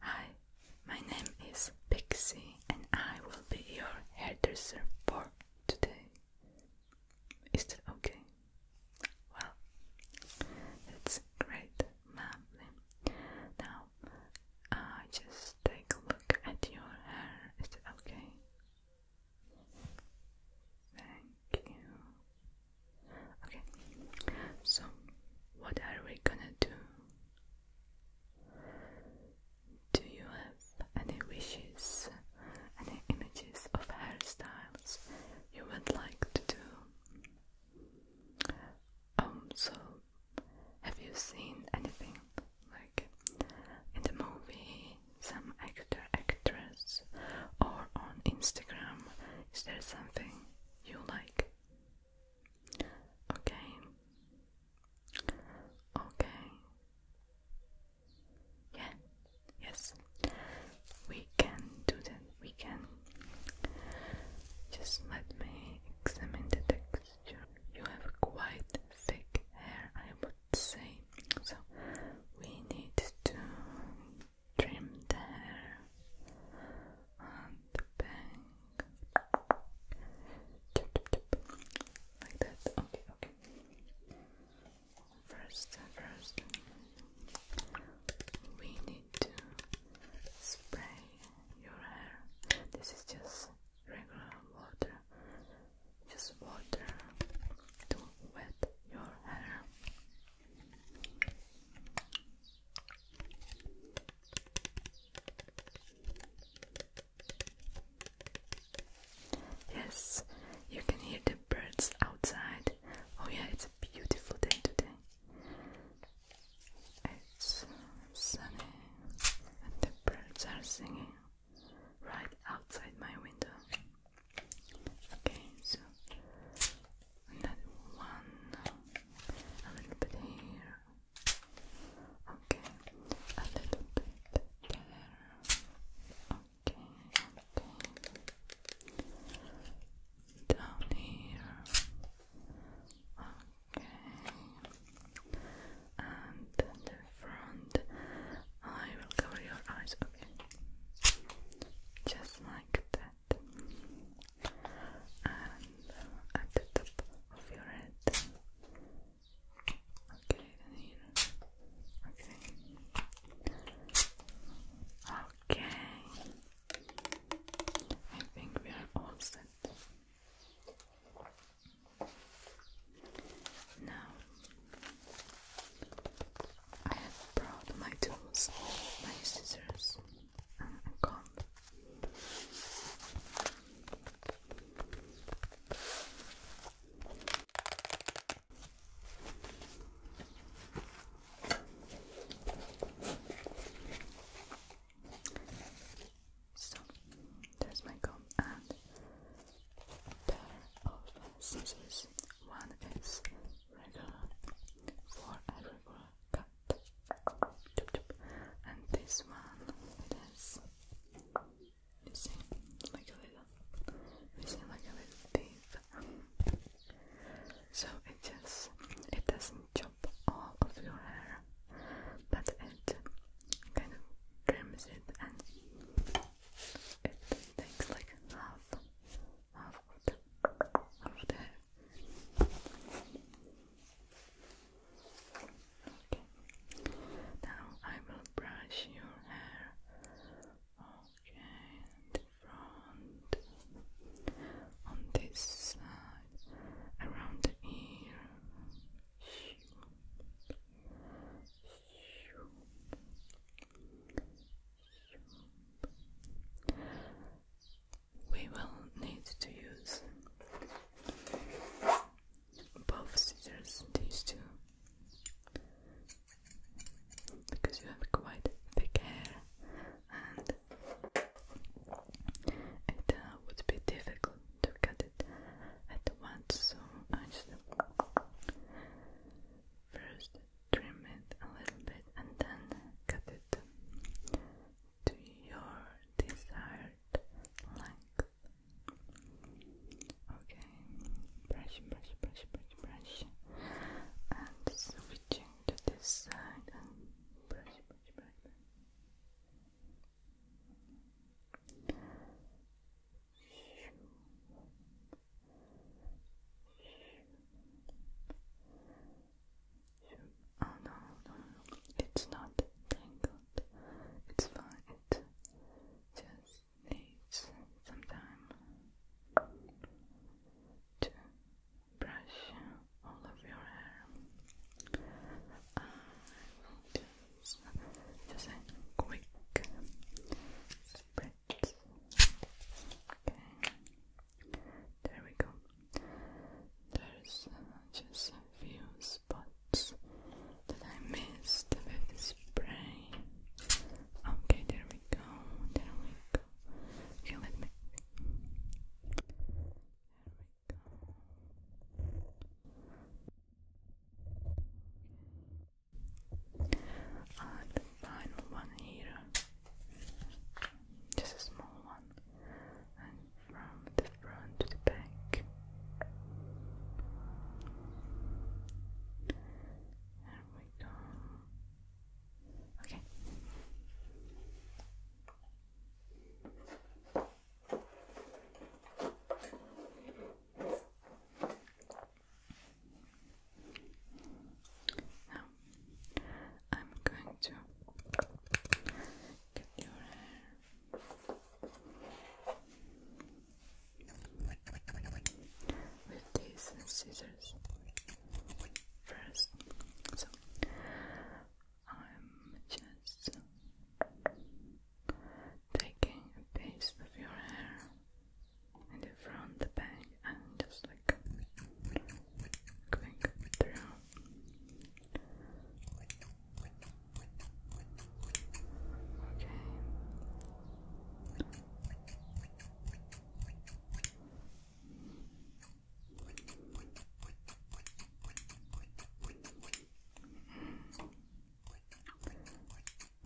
Hi, my name is Pixie and I will be your hairdresser for today. Is that okay? Well, that's great, lovely. Now, I just take a look at your hair. Is that okay? Thank you. Okay, so what are we gonna do? Do you have any wishes, any images of hairstyles you would like to do? Um, so have you seen anything like in the movie, some actor, actress, or on Instagram? Is there something you like? Okay. Okay. Yeah. Yes. We can do that. We can. Just let me examine the texture. You have quite thick hair, I would say. So we need to trim the hair on the back. Like that. Okay, okay. First, first, we need to spray your hair. This is just regular water. Just water to wet your hair. Yes, you can hear the birds outside. Oh, yeah, it's a beautiful day today. It's sunny, and the birds are singing right outside my window. Okay, so another one, a little bit here, okay, a little bit there, okay, okay, down here, okay, and the front, I will cover your eyes, okay, just like that head and at the top of your head. Okay, Okay. Okay. I think we are all set. Now I have brought my tools, my scissors, so there's my comb and pair of scissors. One is regular for a cut. And this one it is you see like a little you see like a little teeth. So it just it doesn't chop all of your hair but it kind of trims it and it takes like half now I will brush your hair. Okay, front, on this side, around the ear. We will need to use both scissors, these two, because you have quite thick hair and it uh, would be difficult to cut it at once, so I just first trim it a little bit and then cut it to your desired length. Okay, brush, brush, brush, brush, brush, and switching to this side brush, brush. brush. Oh no, no, no, it's not tangled. It's fine. It just needs some time to brush all of your hair. Uh, just, just a quick spray. There we go. There's just a few spots that I missed with the spray. Okay, there we go. There we go. Okay, let the final one here, just a small one, from the front to the back, there we go. Okay. I'm going to get your hair with these scissors first. So, I'm just taking a piece of your hair and from the back and just like going through. Okay.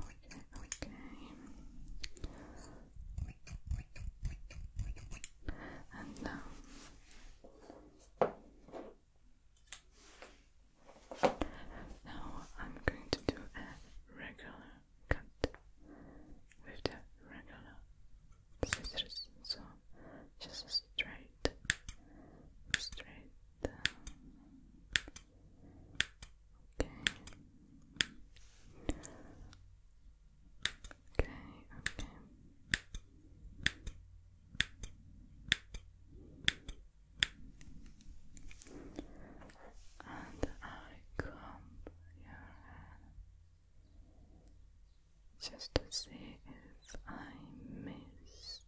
Okay. And now now I'm going to do a regular cut with the regular scissors. So just straight, straight, um, Okay. Okay, okay. And I comb your hair just to see if I missed.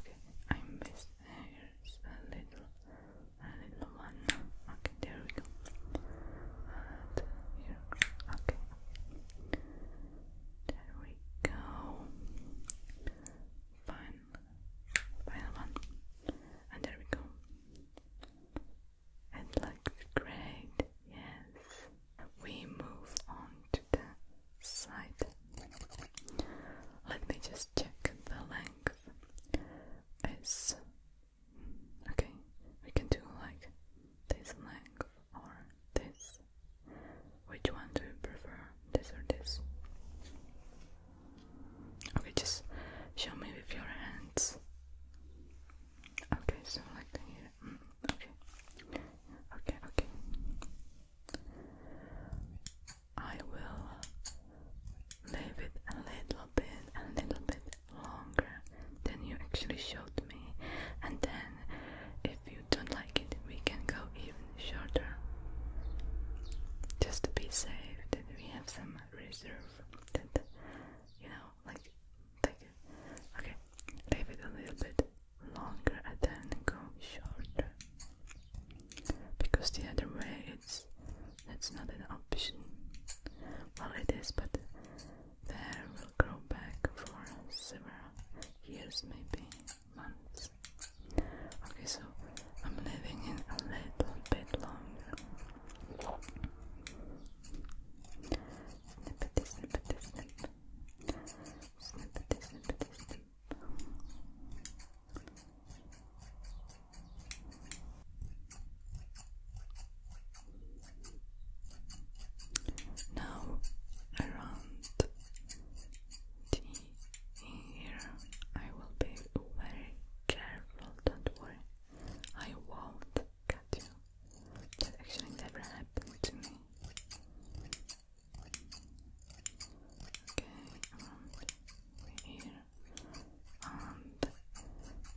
Okay, I missed hairs a little a little one. Okay, there we go. here, okay. There we go. Fine. Final one. And there we go. It looks great. Yes. We move on to the side. Let me just check the length length is okay. We can do like this length or this. Which one do you prefer? This or this? Okay, just show me with your hands. Okay, so like here. Mm, okay, okay, okay. I will leave it a little bit, a little bit longer than you actually showed me, and then if you don't like it, we can go even shorter just to be safe that we have some reserve that you know like okay leave it a little bit longer and then go shorter because the other way it's that's not an option. Well, it is, but the hair will grow back for several years, maybe months. Okay, so I'm leaving a little bit longer. Now around the ear, I will be very careful. Don't worry, I won't cut you. That actually never happened to me around here, on the,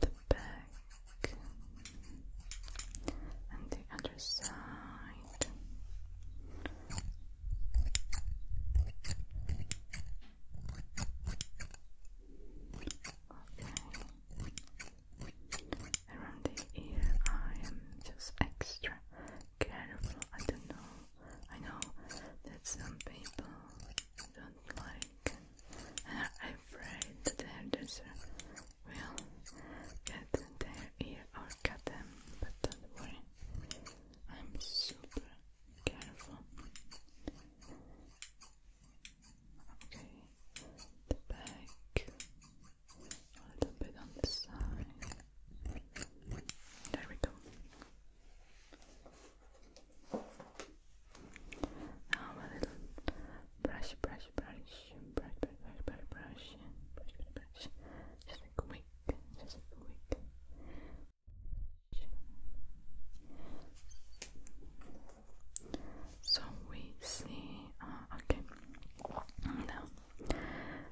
the back, and the other side. Okay. Around the ear, I am just extra careful. I don't know. I know that some people don't like and are afraid that the will get their ear or cut them. But don't worry, I'm super careful. Okay, the back, a little bit on the side. There we go. Now a little brush, brush, brush, brush, brush, brush, brush, brush, brush, Just a quick, just a quick. So we see. okay. Now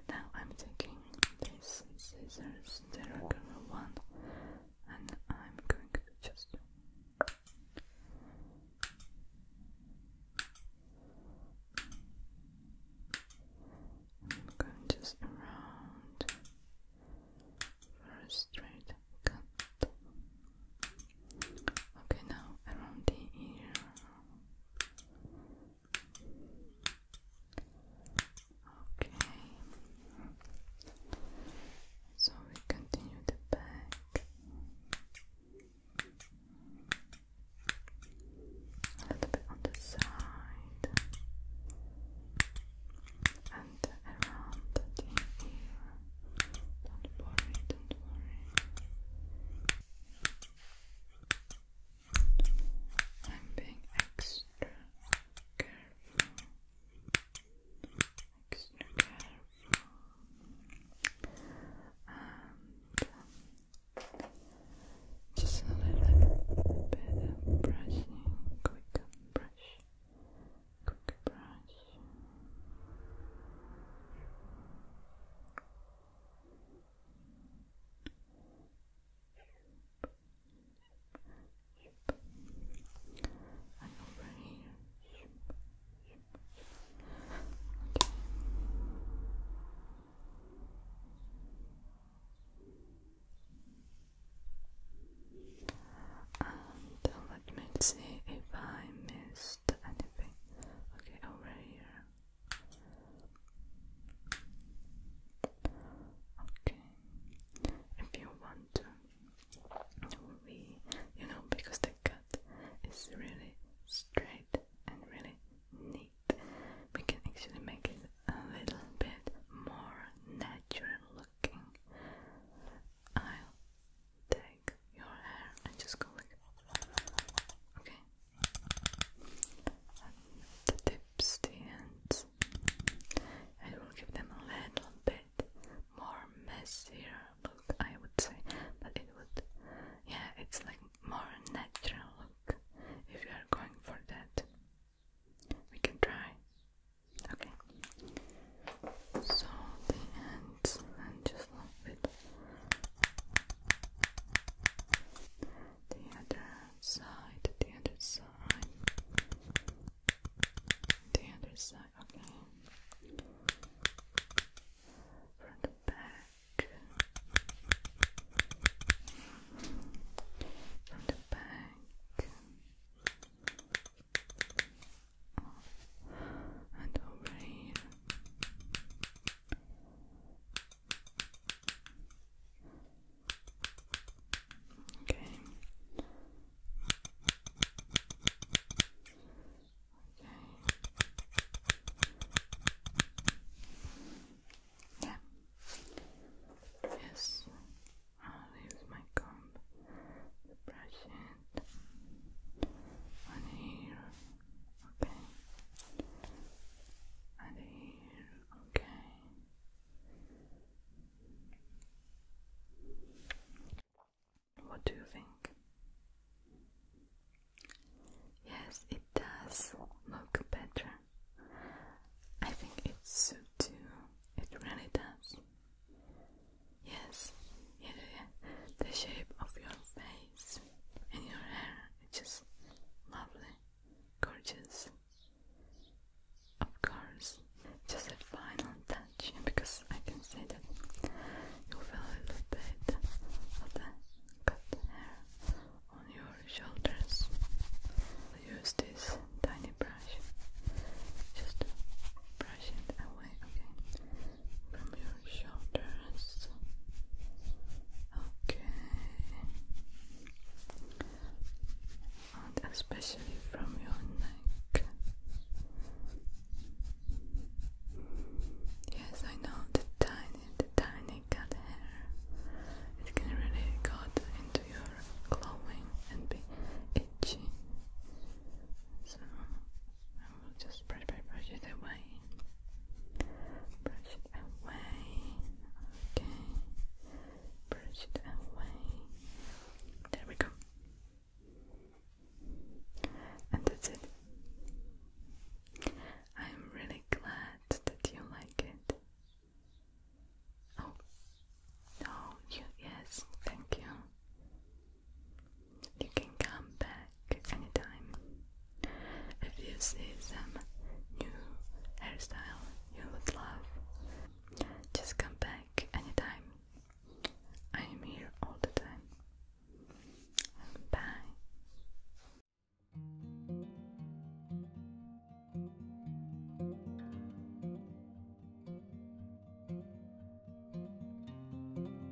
now I'm taking these scissors, the regular one, and I'm going to just I'm going just around for a straight cut. Okay, now around the ear. Okay. So we continue the back. A little bit on the side and around the ear. Don't worry, don't worry. I'm being extra careful. Extra careful. Um, just a little bit of brushing, quick brush, quick brush. And uh, let me see if I missed anything. Okay, over here. Okay, if you want to, we, you know, because the cut is really straight and really neat, we can actually make it a little bit more natural looking. I'll take your hair and just go like, okay, the tips, the ends. I will give them a little bit more messier look, I would say, but it would, yeah, it's like more natural look if you are going for that. We can try. Okay. So the ends and just a little bit the other side, the other side, the other side, okay. From the back, from the back, and over here. Okay. Okay. Yeah. Yes. I'll use my comb to brush it on here. Okay. And here, okay. What do you think? Yes, it does look better. I think it suits you. It really does. Yes, yeah, yeah. The shape of your face and your hair is just lovely, gorgeous. Of course, just a final touch because I can see that you feel a little bit of the cut hair on your shoulders. use this tiny brush just to brush it away, okay? from your shoulders. Okay. And especially from your neck. Yes, I know the tiny, the tiny cut hair. It can really cut into your clothing and be itchy. So I will just brush, brush, brush it away brush it away, okay, brush it away, there we go, and that's it. I'm really glad that you like it. Oh, no, you, yes, thank you. You can come back anytime. If you see some new hairstyle you would love, just come back anytime. I am here all the time.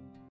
Bye.